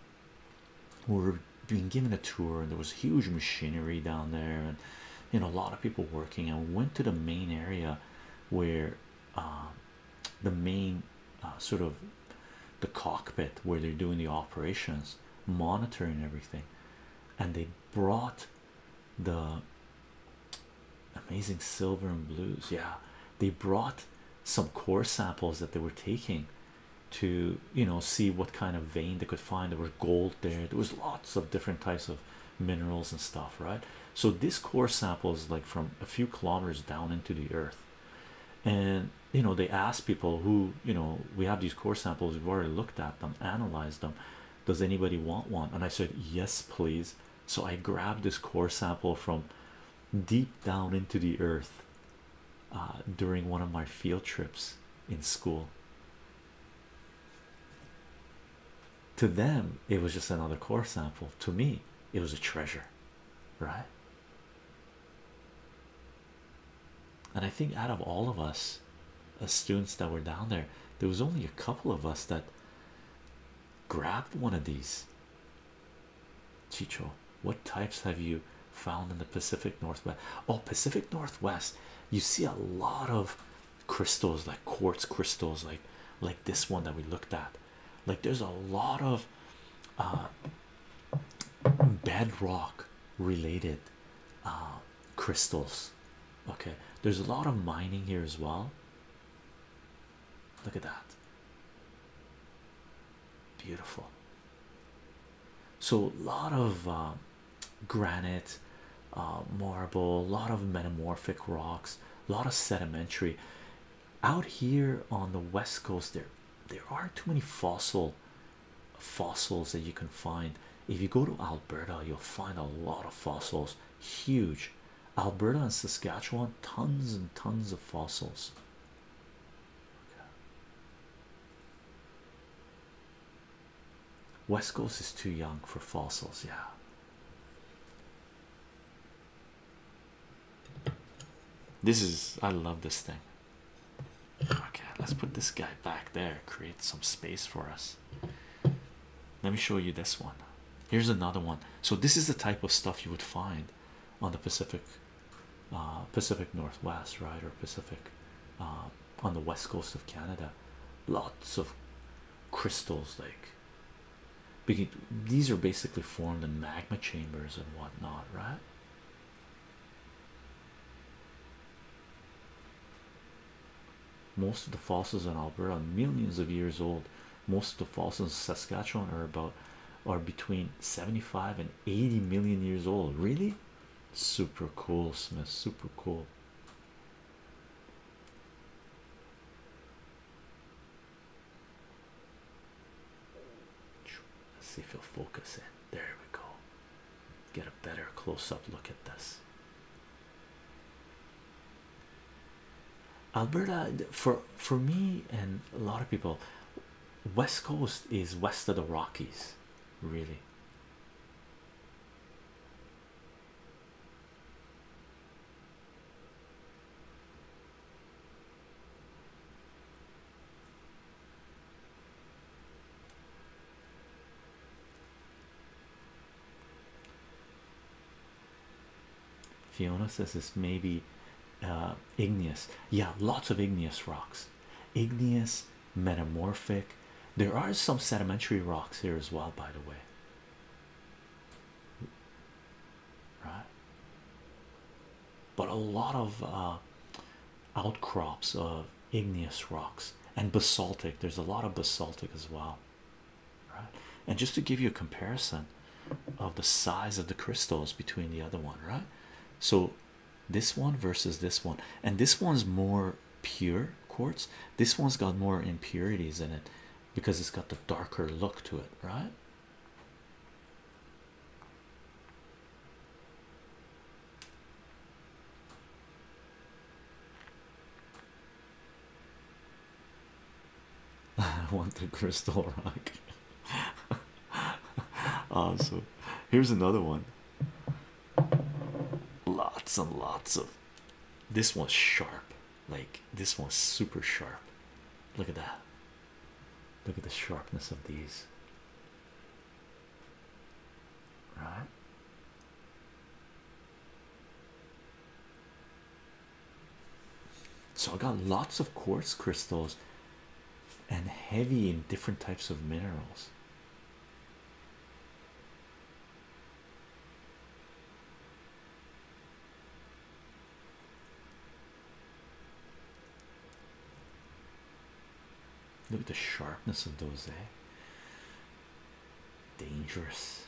A: we were being given a tour and there was huge machinery down there and you know a lot of people working and we went to the main area where um, the main uh, sort of the cockpit where they're doing the operations monitoring everything and they brought the amazing silver and blues yeah they brought some core samples that they were taking to you know see what kind of vein they could find. There was gold there. There was lots of different types of minerals and stuff, right? So this core sample is like from a few kilometers down into the earth, and you know they asked people who you know we have these core samples. We've already looked at them, analyzed them. Does anybody want one? And I said yes, please. So I grabbed this core sample from deep down into the earth uh, during one of my field trips in school. To them, it was just another core sample. To me, it was a treasure, right? And I think out of all of us, the uh, students that were down there, there was only a couple of us that grabbed one of these Chico, what types have you found in the Pacific Northwest? Oh, Pacific Northwest, you see a lot of crystals like quartz crystals, like like this one that we looked at. Like there's a lot of uh, bedrock related uh, crystals. Okay, there's a lot of mining here as well. Look at that. Beautiful. So a lot of um, granite, uh, marble, a lot of metamorphic rocks, a lot of sedimentary. Out here on the west coast, there there aren't too many fossil fossils that you can find. If you go to Alberta, you'll find a lot of fossils. Huge. Alberta and Saskatchewan, tons and tons of fossils. West Coast is too young for fossils, yeah. This is I love this thing. Okay, let's put this guy back there, create some space for us. Let me show you this one. Here's another one. So, this is the type of stuff you would find on the Pacific uh, Pacific Northwest, right, or Pacific uh, on the west coast of Canada. Lots of crystals, like these are basically formed in magma chambers and whatnot, right? Most of the fossils in Alberta are millions of years old. Most of the fossils in Saskatchewan are about are between 75 and 80 million years old. Really? Super cool, Smith. Super cool. Let's see if you will focus in. There we go. Get a better close up look
B: at this. Alberta,
A: for for me and a lot of people, West Coast is west of the Rockies really. Fiona says this maybe uh, igneous, yeah, lots of igneous rocks igneous, metamorphic. There are some sedimentary rocks here as well, by the way. Right, but a lot of uh, outcrops of igneous rocks and basaltic. There's a lot of basaltic as well. Right, and just to give you a comparison of the size of the crystals between the other one, right? So this one versus this one and this one's more pure quartz this one's got more impurities in it because it's got the darker look to it right I want the crystal
B: rock.
A: awesome. Here's another one. Lots and lots of this one's sharp, like this one's super sharp. Look at that. Look at the sharpness of these.
B: Right. So I got lots
A: of quartz crystals and heavy in different types of minerals. Look at the sharpness of those, eh? Dangerous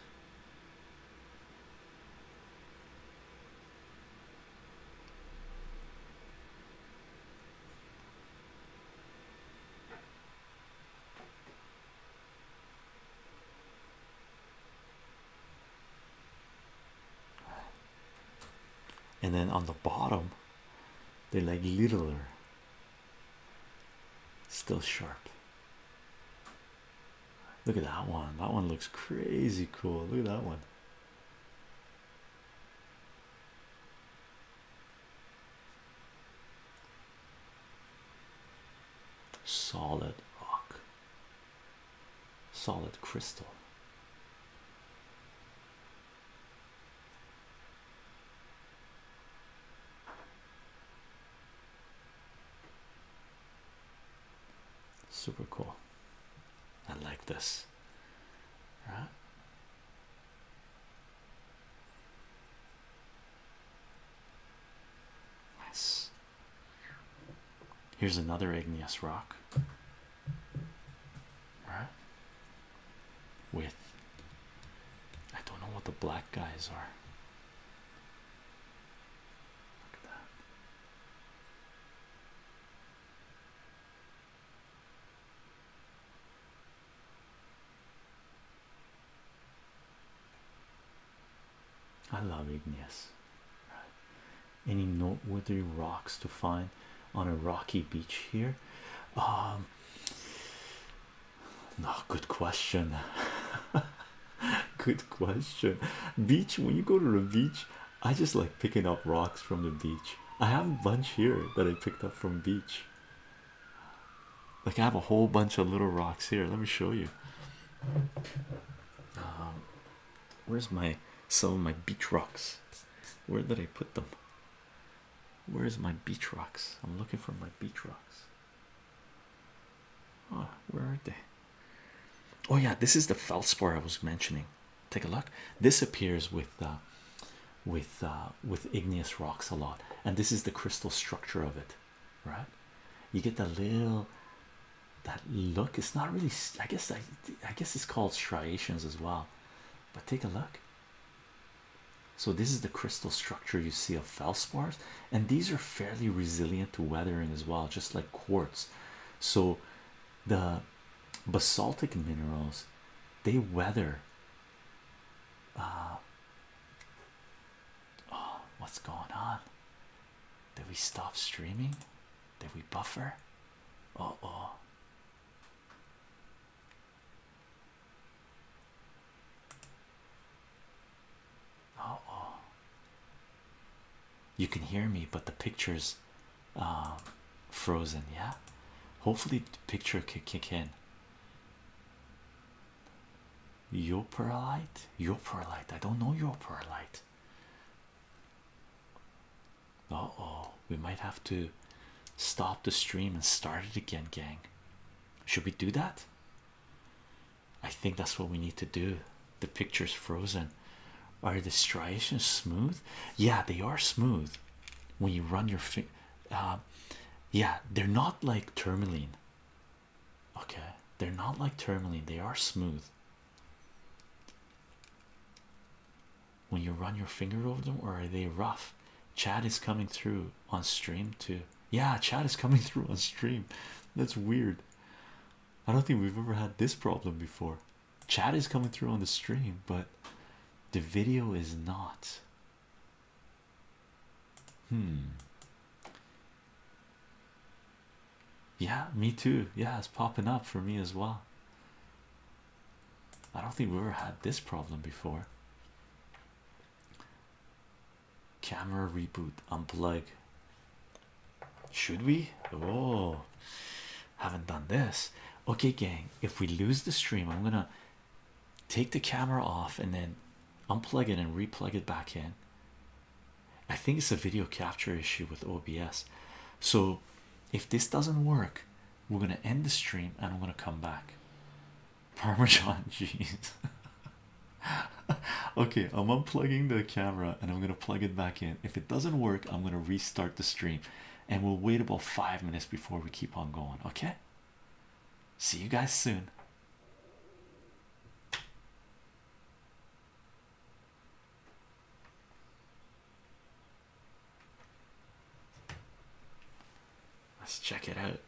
A: and then on the bottom they're like littler still sharp look at that one that one looks crazy cool look at that one solid rock solid crystal super cool i like this right Nice. Here's another igneous rock. Right? With I don't know what the black guys are. Look at that.
B: I love igneous.
A: Any noteworthy rocks to find on a rocky beach here? Um, no, good question. good question. Beach, when you go to the beach, I just like picking up rocks from the beach. I have a bunch here that I picked up from beach. Like I have a whole bunch of little rocks here. Let me show you. Um, where's my some of my beach rocks? Where did I put them? Where's my beach rocks? I'm looking for my beach rocks.
B: Oh, where are
A: they? Oh yeah, this is the feldspar I was mentioning. Take a look. This appears with uh, with uh, with igneous rocks a lot, and this is the crystal structure of it, right? You get the little that look. It's not really. I guess I, I guess it's called striations as well, but take a look. So this is the crystal structure you see of feldspars, and these are fairly resilient to weathering as well, just like quartz. So the basaltic minerals they weather uh,
B: oh what's going on did we stop streaming did we buffer uh oh uh oh
A: you can hear me but the pictures um frozen yeah hopefully the picture could kick in your perlite, your perlite. I don't know your perlite. Uh oh, we might have to stop the stream and start it again, gang. Should we do that? I think that's what we need to do. The picture's frozen. Are the striations smooth? Yeah, they are smooth. When you run your finger. Uh, yeah they're not like tourmaline okay they're not like tourmaline they are smooth when you run your finger over them or are they rough Chad is coming through on stream too yeah Chad is coming through on stream that's weird I don't think we've ever had this problem before Chad is coming through on the stream but the video is not Hmm. Yeah, me too. Yeah, it's popping up for me as well. I don't think we ever had this problem before. Camera reboot, unplug. Should we? Oh, haven't done this. Okay, gang. If we lose the stream, I'm gonna Take the camera off and then unplug it and replug it back in. I think it's a video capture issue with OBS. So, if this doesn't work, we're gonna end the stream and I'm gonna come back. Parmesan cheese. okay, I'm unplugging the camera and I'm gonna plug it back in. If it doesn't work, I'm gonna restart the stream and we'll wait about five minutes before we keep on going. Okay. See you guys soon. Let's check it out.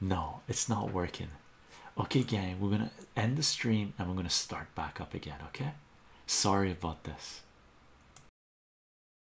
A: No, it's not working. Okay, gang, we're gonna end the stream and we're gonna start back up again. Okay, sorry about this.